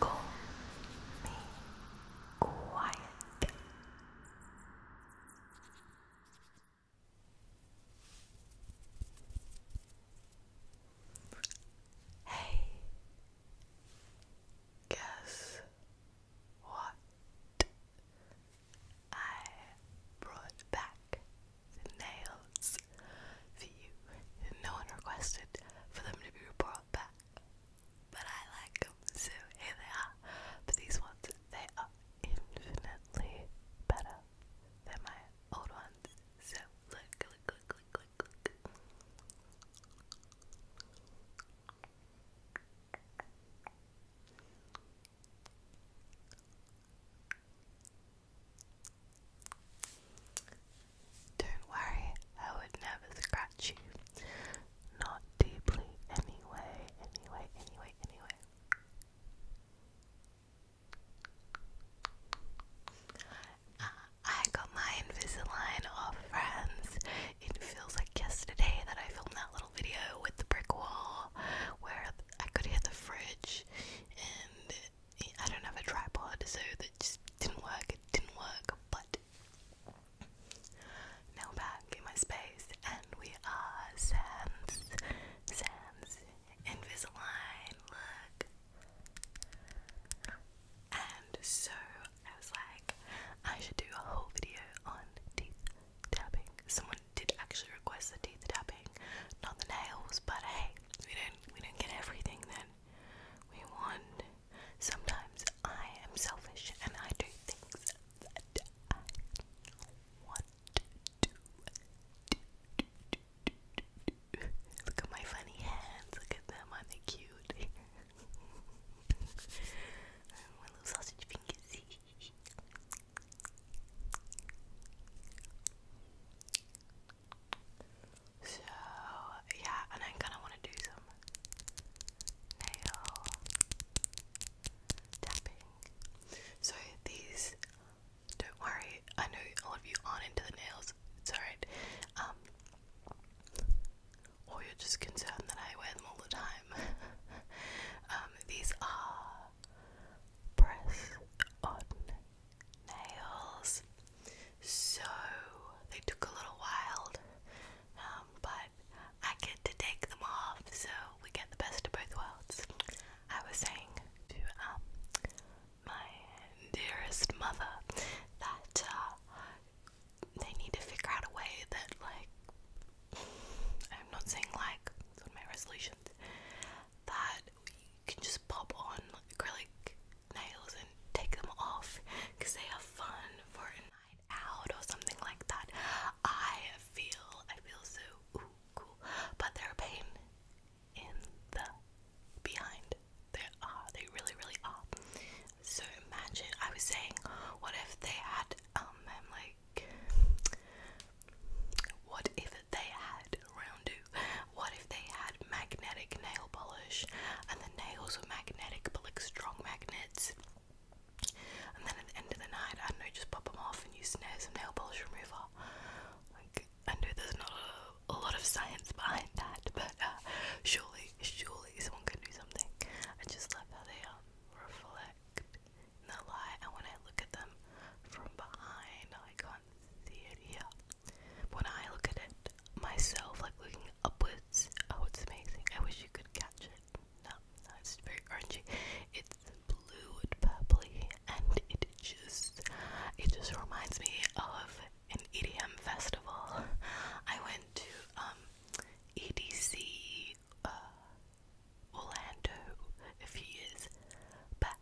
Call me quiet. Hey, guess what I brought back nails for you. No one requested for them to be brought back, but I like them, so here they are. But these ones, they are infinitely better than my old ones. So look, look, look, look, look, look. Don't worry, I would never scratch you. Not deeply, anyway, anyway, anyway, anyway. I got my Invisalign off friends. It feels like yesterday that I filmed that little video with the brick wall where I could hear the fridge and I don't have a tripod, so that just didn't work. It didn't work, but now back in my space, and we are Sans, Sans, Invisalign. Look, and so I was like, I should do a whole video on teeth tapping. Someone did actually request the teeth tapping, not the nails, but hey, we did not we don't get everything that we want. Sometimes I am selfish and I do things that I want to do. Look at my funny hands. Look at them. I'm they cute? my little sausage fingers. So yeah, and I kinda wanna do some nail tapping. So these don't worry, I know all of you aren't into the nails, it's alright. Um, or you're just concerned that I wear them all the time. Um, these are press on nails. So they took a little while, um, but I get to take them off, so we get the best of both worlds. I was saying to um, my dearest mother that uh, they need to figure out a way that, like, I'm not saying like, my resolutions, that you can just pop on acrylic nails and take them off they are fun for a night out or something like that. I feel I feel so ooh, cool, but they're a pain in the behind. They are. They really, really are. So imagine. I was saying, what if they had um, like, what if they had round two? What if they had magnetic nail polish and the nails were magnetic but like strong magnets? And then at the end of the night, I don't know, just pop them off and use some nail polish remover. Like, I know there's not a, lot of science behind that, but uh, surely, surely someone can do something. I just love how they um, reflect the light, and when I look at them from behind, I can't see it here when I look at it myself, like looking upwards, oh, it's amazing. I wish you could catch it. No, it's very orangey. It's blue and purpley, and it just, it just reminds me of an EDM festival. I went to um, EDC uh, Orlando a few years back.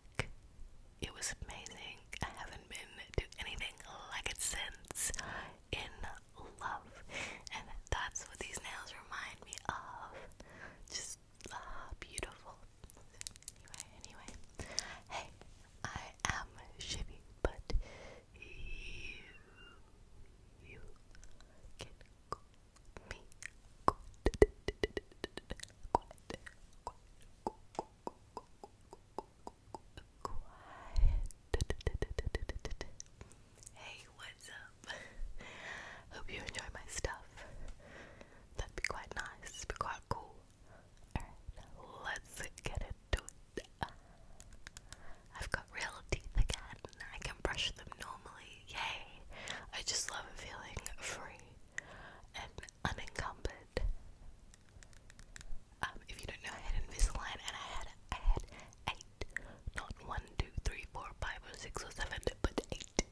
It was amazing. I haven't been to anything like it since. In love. And that's what these nails remind me of. Just ah, beautiful. Anyway, anyway. Hey, I am shivy, but you, you can call me. Hey, what's up? Hope you enjoy my stuff. That'd be quite nice, be quite cool. let's get it. Uh, I've got real teeth again. I can brush them normally. Yay! I just love feeling free unencumbered. Um, if you don't know, I had Invisalign and I had I had eight, not one, two, three, four, five, or six, or seven, but eight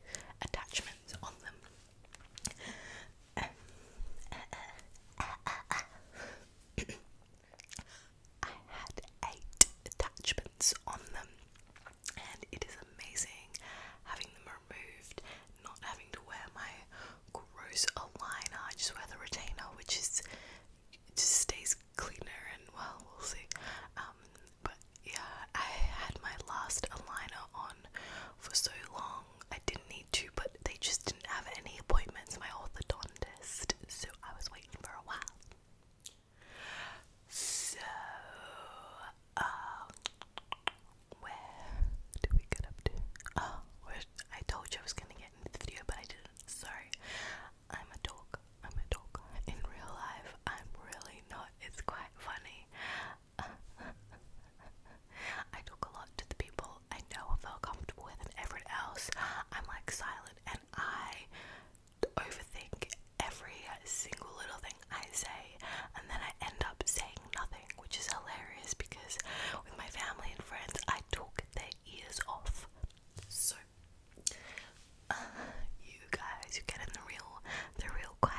attachments on them. I had eight attachments on them, and it is amazing having them removed, not having to wear my gross aligner. I just wear the retainer, which is just stays cleaner and well, we'll see. Um, but yeah, I had my last aligner on for so long. I didn't need to, but they just didn't have any appointments. My orthodontist, so I was waiting for a while. So, uh, where do we get up to? Oh, I told you I was gonna get into the video, but I didn't. Sorry. I'm a dog. I'm a dog. In real life, I'm really not. It's quite funny. I talk a lot to the people I know and feel comfortable with, and everyone else, I'm like silent and I overthink every single little thing I say and then I end up saying nothing, which is hilarious because with my family and friends, I talk their ears off. So, you guys, you get in the real, the real quiet.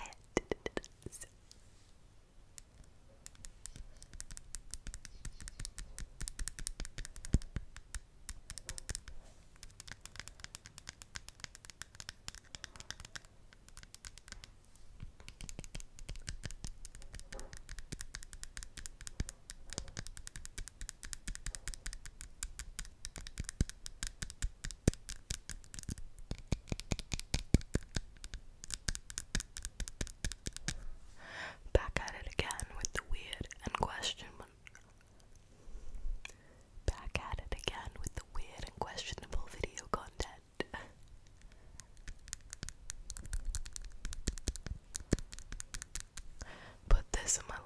Back at it again with the weird and questionable. Back at it again with the weird and questionable video content that. Put this in my LinkedIn.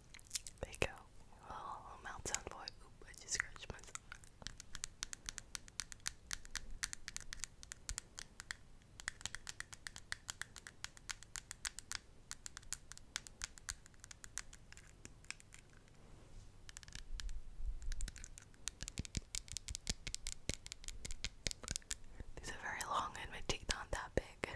There you go. Oh, i boy. Oop, I just scratched myself. These are very long and my teeth aren't that big.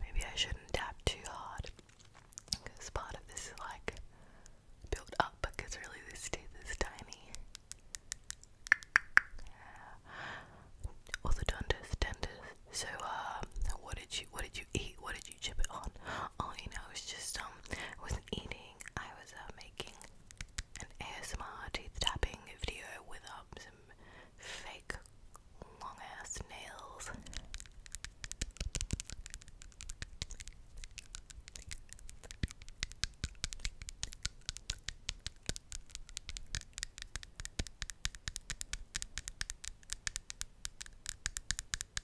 Maybe I shouldn't tap too hard because part of this is like built up because really this teeth is tiny. Orthodontist, dentist. So, uh, what did you, what did you eat? What did you chip it on? all you know is just um with eating I was uh, making an ASMR teeth tapping video with um, some fake long ass nails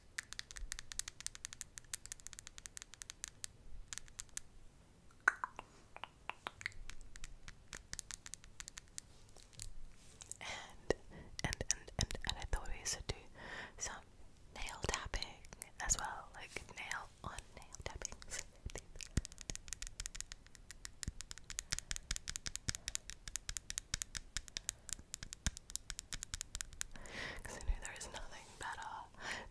And and and and and I thought we should do some nail tapping as well, like nail on nail tapping. Because I knew there is nothing better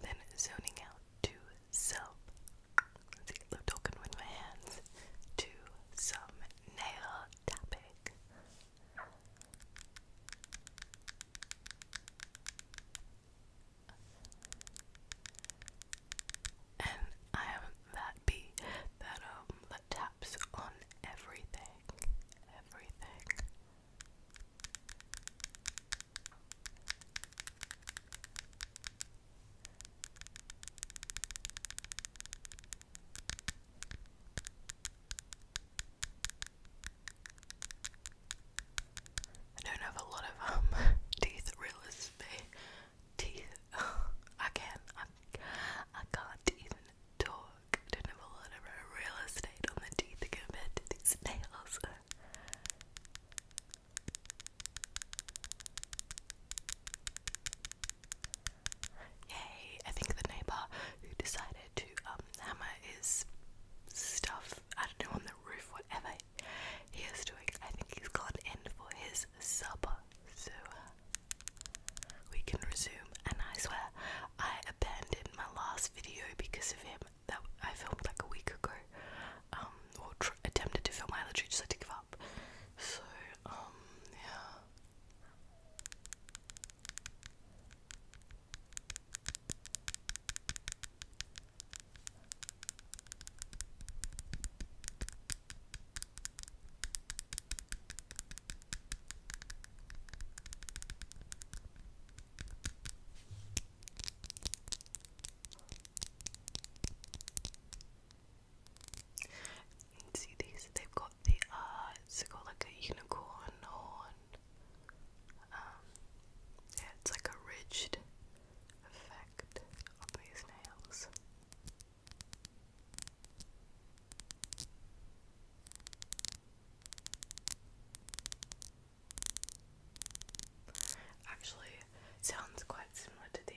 than zoning out to self. Let's get lip token with my hands to some nail tapping. And I am that bee that um that taps on everything, everything. I don't have a lot of um teeth realists Teeth I can I I can't even talk. I don't have a lot of real estate on the teeth compared to these nails. Yay! I think the neighbor who decided to um, hammer his stuff, I don't know, on the roof, whatever he is doing, I think he's gone in for his supper. So we can resume, and I swear I abandoned my last video because of him that I filmed like a week ago. Um, or attempted to film. my literally just had to give up. So, um, yeah see these, they've got the, uh, it's got like a unicorn horn. Um, yeah, it's like a ridged effect on these nails. Actually, sounds quite similar to these.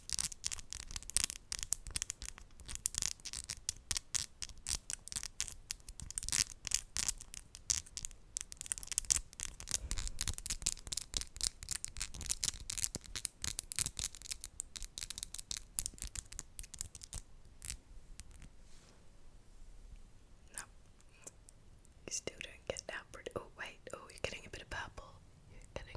No. You still don't get that pretty. Oh, wait. Oh, you're getting a bit of purple. You're getting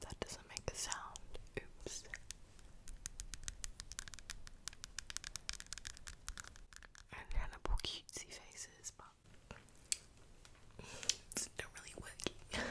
That doesn't make a sound. Oops. And Hannibal cutesy faces, but it's not really working.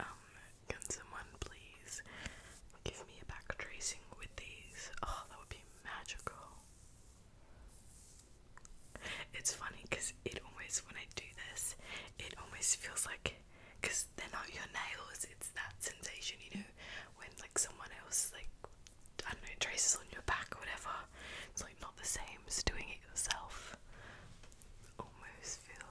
Um, can someone please give me a back tracing with these? Oh, that would be magical. It's funny because it always, when I do this, it almost feels like, because they're not your nails, it's that sensation, you know, when like someone else, like, I don't know, traces on your back or whatever. It's like not the same as doing it yourself. Almost feel.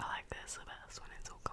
I like this the best when it's all combined.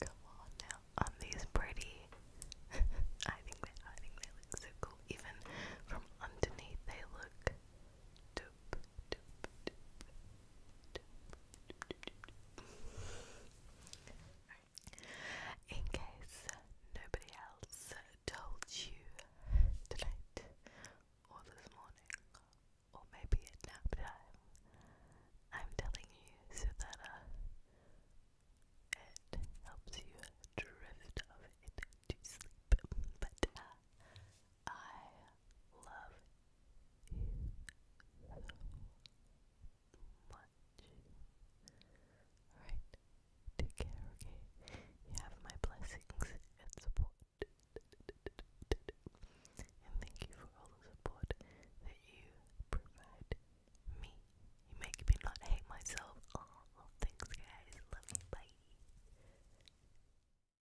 Come on now, on these pretty. I think they, I think they look so cool. Even from underneath, they look dope. In case nobody else told you tonight or this morning or maybe at nap I'm telling you so that uh, it helps you drift off into sleep. But uh, I love you so much. Alright, take care, okay? You have my blessings and support. And thank you for all the support that you provide me. You make me not hate myself. Oh, thanks guys. Love you. Bye.